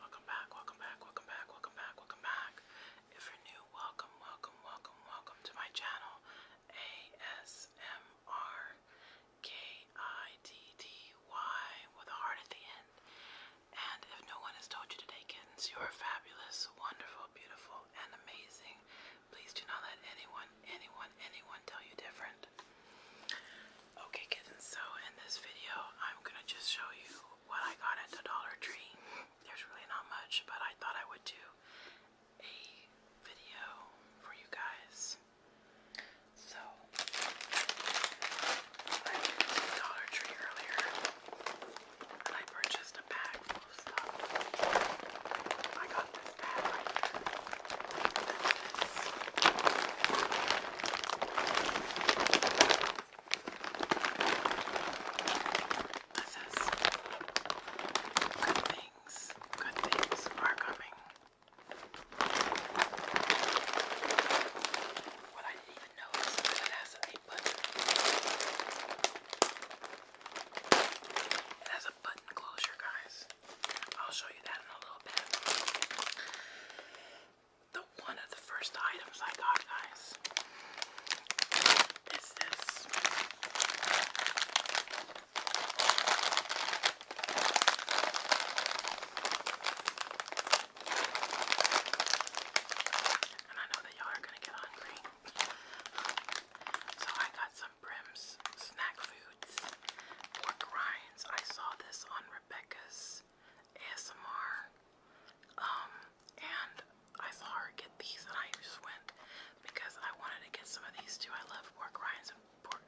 Welcome back, welcome back, welcome back, welcome back, welcome back. If you're new, welcome, welcome, welcome, welcome to my channel. ASMR K-I-D-D-Y with a heart at the end. And if no one has told you today, kittens, you are fabulous, wonderful, beautiful, and amazing. Please do not let anyone, anyone, anyone tell you different. Okay kittens, so in this video I'm gonna just show you what I got at the Dollar Tree. There's really not much, but I thought I would do a video for you guys. So I went to Dollar Tree earlier and I purchased a bag full of stuff. I got this bag this? Good things, good things are coming. What I didn't even notice is that it has a button. It has a button closure, guys. I'll show you that in a little bit the one of the first items I got, guys. It's this. And I know that y'all are gonna get hungry. So I got some Brim's snack food pork rinds. I saw this on Rebecca's ASMR. Um, and I saw get these and I just went because I wanted to get some of these too. I love pork rinds and pork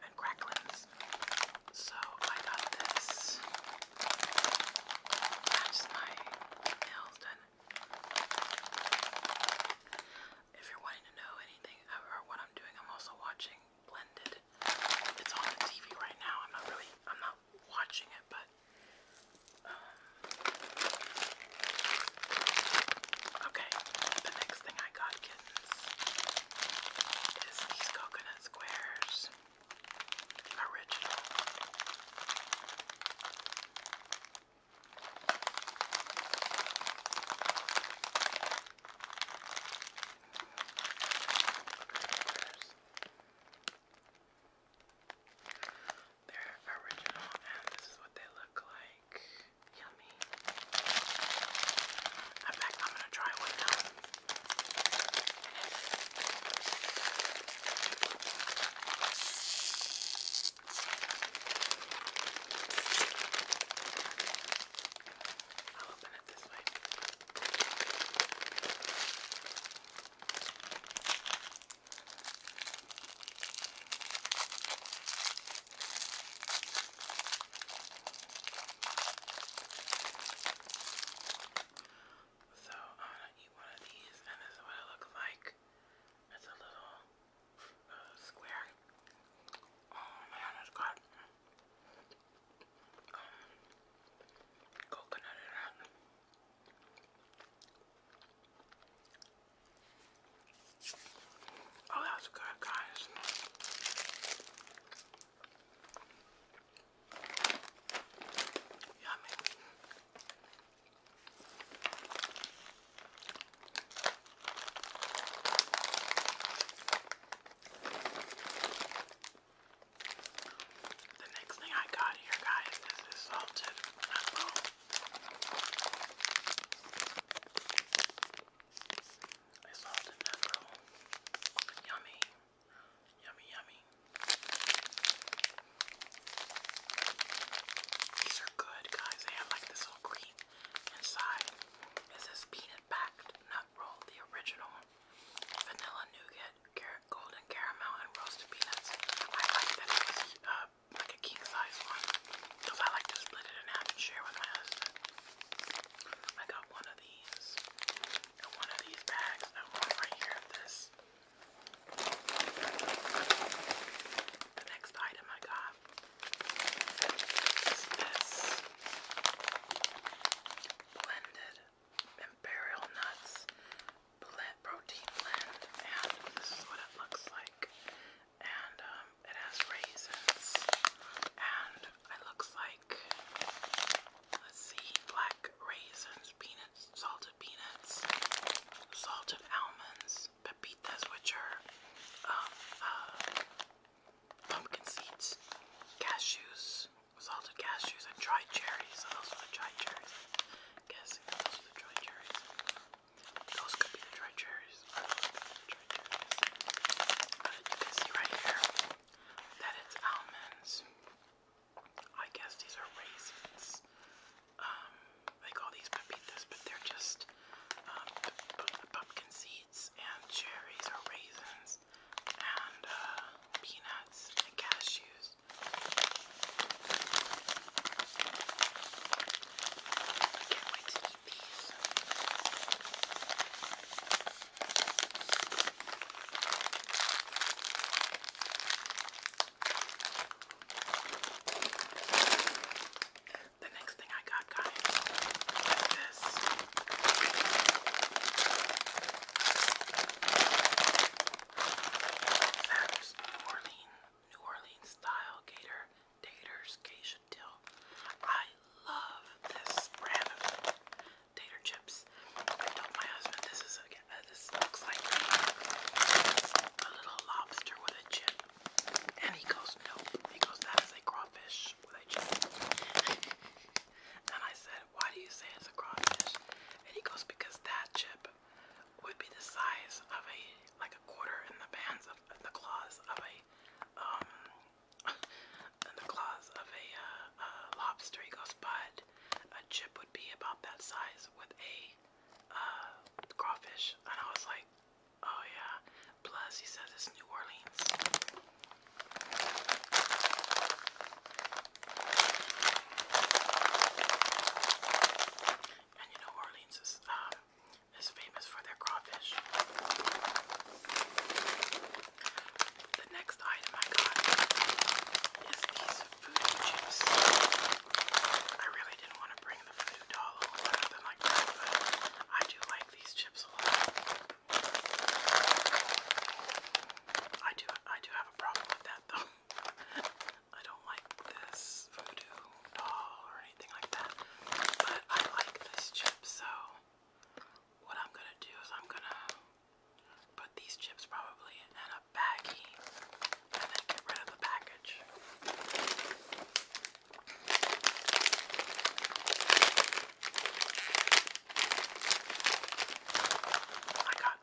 So I got this. That's my nails done. If you're wanting to know anything uh, or what I'm doing, I'm also watching blended. It's on the TV right now. I'm not really, I'm not watching it, but um, okay. The next thing I got, is these coconut squares. Original. They're original and this is what they look like. Yummy. In fact, I'm gonna try one now. I'll open it this way. So I'm gonna eat one of these and this is what it looks like. It's a little square. Oh man, it's got um, coconut in it. Oh, that's good, guys. Yummy. The next thing I got here, guys, is this salted apple. A salted apple. Yummy. Yummy, yummy. These are good, guys. They have like this little cream Inside is this peanut packed nut roll, the original vanilla nougat, golden caramel, and roasted peanuts. I like that it was uh, like a king size one because I like to split it in half and share with my husband. I got one of these one of these bags and one right here this. The next item I got have is this blended imperial nuts blend, protein blend, and this is what it looks like. And um, it has raisins, and it looks like let's see, black raisins, peanuts, salted peanuts, salted almonds, pepitas. which are um, uh, pumpkin seeds, cashews, salted cashews, and dried cherries. Those are the dried cherries. I'm those are the dried cherries. Those could be the dried cherries. you can see right here that it's almonds. I guess these are raisins um, they call these pepitas, but they're just um, pumpkin seeds and cherries or raisins and uh, peanuts and cashews. can't wait to eat these. The next thing I got, guys, is New Orleans, New Orleans style gator, taters, Keisha Dill. I love this brand of tater chips. I told my husband this is a, this looks like a little lobster with a chip. And he goes, nope. He goes, that is a crawfish with a chicken. and I said, why do you say it's a crawfish? And he goes, because that chip would be the size of a, like a quarter in the bands of, in the claws of a, um, in the claws of a, uh, uh, lobster. He goes, but a chip would be about that size with a uh, crawfish, and I was like, oh yeah. Plus, he says it's New Orleans. And you know, Orleans is, um, is famous for their crawfish. The next item I got is voodoo chips. I really didn't want to bring the voodoo doll or nothing like that, but I do like these chips a lot. I do I do have a problem with that though. I don't like this voodoo doll or anything like that. But I like this chip, so what I'm gonna do is I'm gonna put these chips probably in a the baggie and then get rid of the package. I got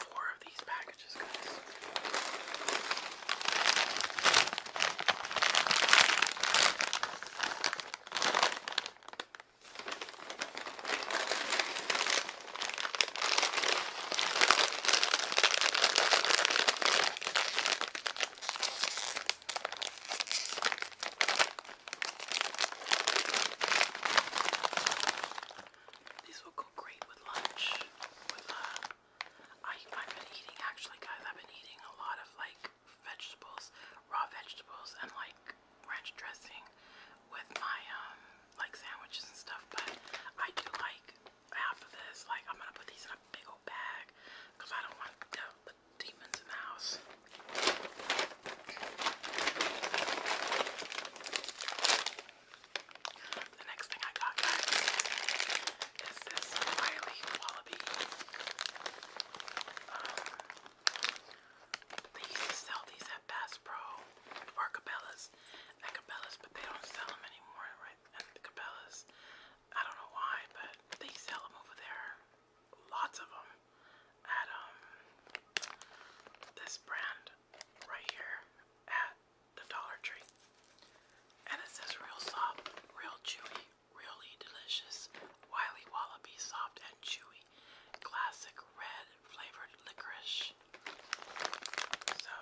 four of these packages, guys. These will go great with lunch. With uh, I, I've been eating actually, guys. I've been eating a lot of like vegetables, raw vegetables, and like ranch dressing with my um like sandwiches and stuff, but I do like half of this. Like I'm gonna put these in a big old bag because I don't want the, the demons in the house. The next thing I got is this Wiley Wallaby. Um, they used to sell these at Bass Pro or Cabela's at Cabela's, but they don't sell them anymore, right? At Cabela's, I don't know why, but they sell them over there. Lots of them at um, this brand right here at the Dollar Tree, and it says real soft, real chewy, really delicious, wily wallaby, soft and chewy, classic red flavored licorice. So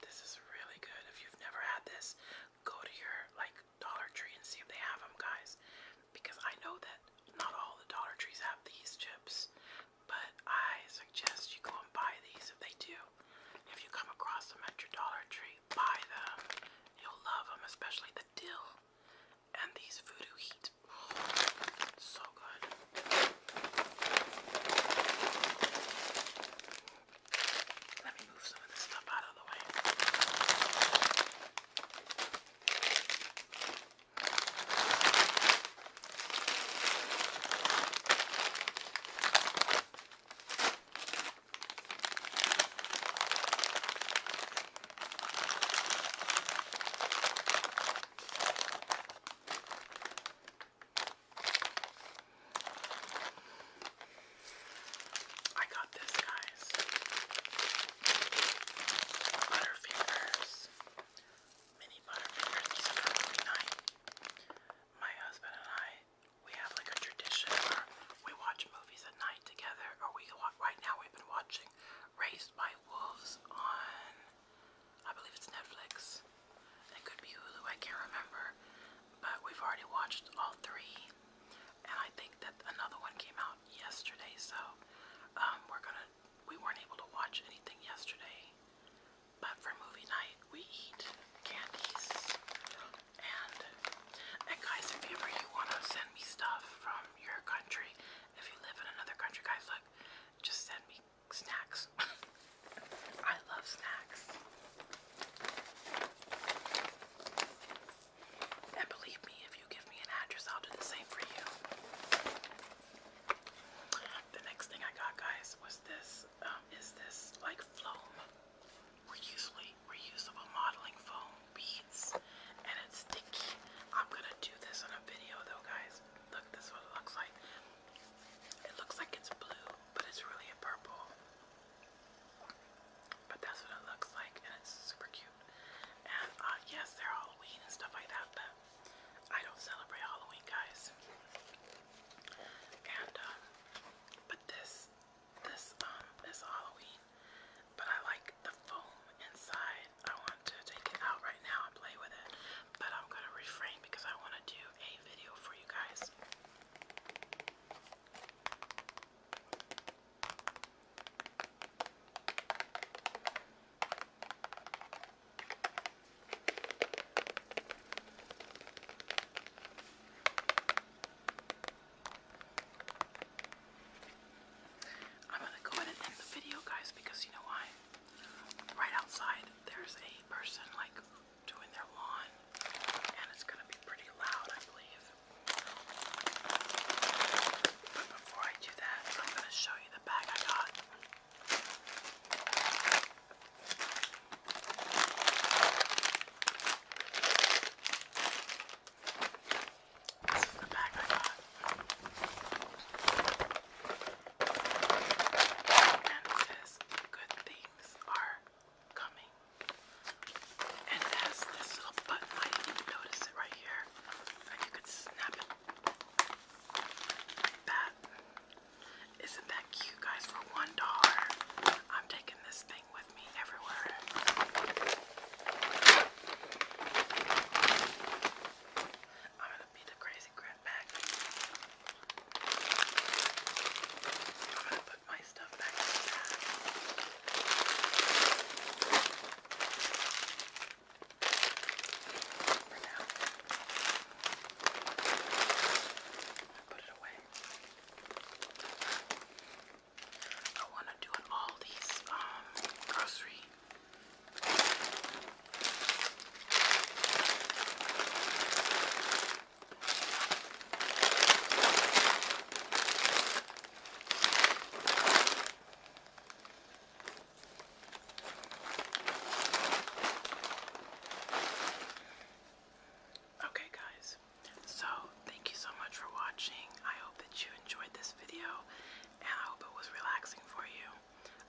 this is really good. If you've never had this, go to your like Dollar Tree and see if they have them, guys. Because I know that not all the Dollar Trees have these chips, but I suggest you go and buy these if they do. If you come across them at your Dollar Tree, buy them. You'll love them, especially the dill and these voodoo heat. Oh, so good. Let me move some of this stuff out of the way. I got this, guys. Butterfingers. Mini Butterfingers. These My husband and I, we have like a tradition where we watch movies at night together, or we watch, right now we've been watching Raised by Wolves on, I believe it's Netflix. It could be Hulu, I can't remember. But we've already watched all three. And I think that another one came out yesterday, so um, we're gonna, we weren't able to watch anything yesterday. But for movie night, we eat candies. And, and guys, if ever you want to send me stuff from your country, if you live in another country, guys, look, just send me snacks. I love snacks. And believe me, if you give me an address, I'll do the same for you. The next thing I got, guys, was this. Um, is this like foam? Reusable, reusable modeling foam beads and it's sticky. I'm gonna do this on a video though, guys. Look, this what it looks like. It looks like it's blue, but it's really a purple. But that's what it looks like, and it's super cute. And uh, yes, they're all Halloween and stuff like that, but I don't celebrate Halloween, guys. And um, but this, this um, is Halloween but I like the foam inside. I want to take it out right now and play with it, but I'm gonna refrain because I want to do a video for you guys. I'm gonna go ahead and end the video, guys, because you know why? Right outside, there's a person like doing their lawn, and it's gonna be pretty loud, I believe. But before I do that, I'm gonna show you the bag I got. This is the bag I got. And it says, good things are coming. And it has this little button, I didn't even notice it right here. And you could snap it like that. Isn't that cute, guys? For one dollar, I'm taking this thing with me everywhere. I'm gonna be the crazy grandbag. I'm gonna put my stuff back in the bag. For now. Put it away. I want to do all these um, grocery Okay, guys, so, thank you so much for watching. I hope that you enjoyed this video and I hope it was relaxing for you.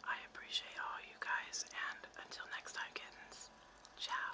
I appreciate all you guys, and until next time, kittens, ciao.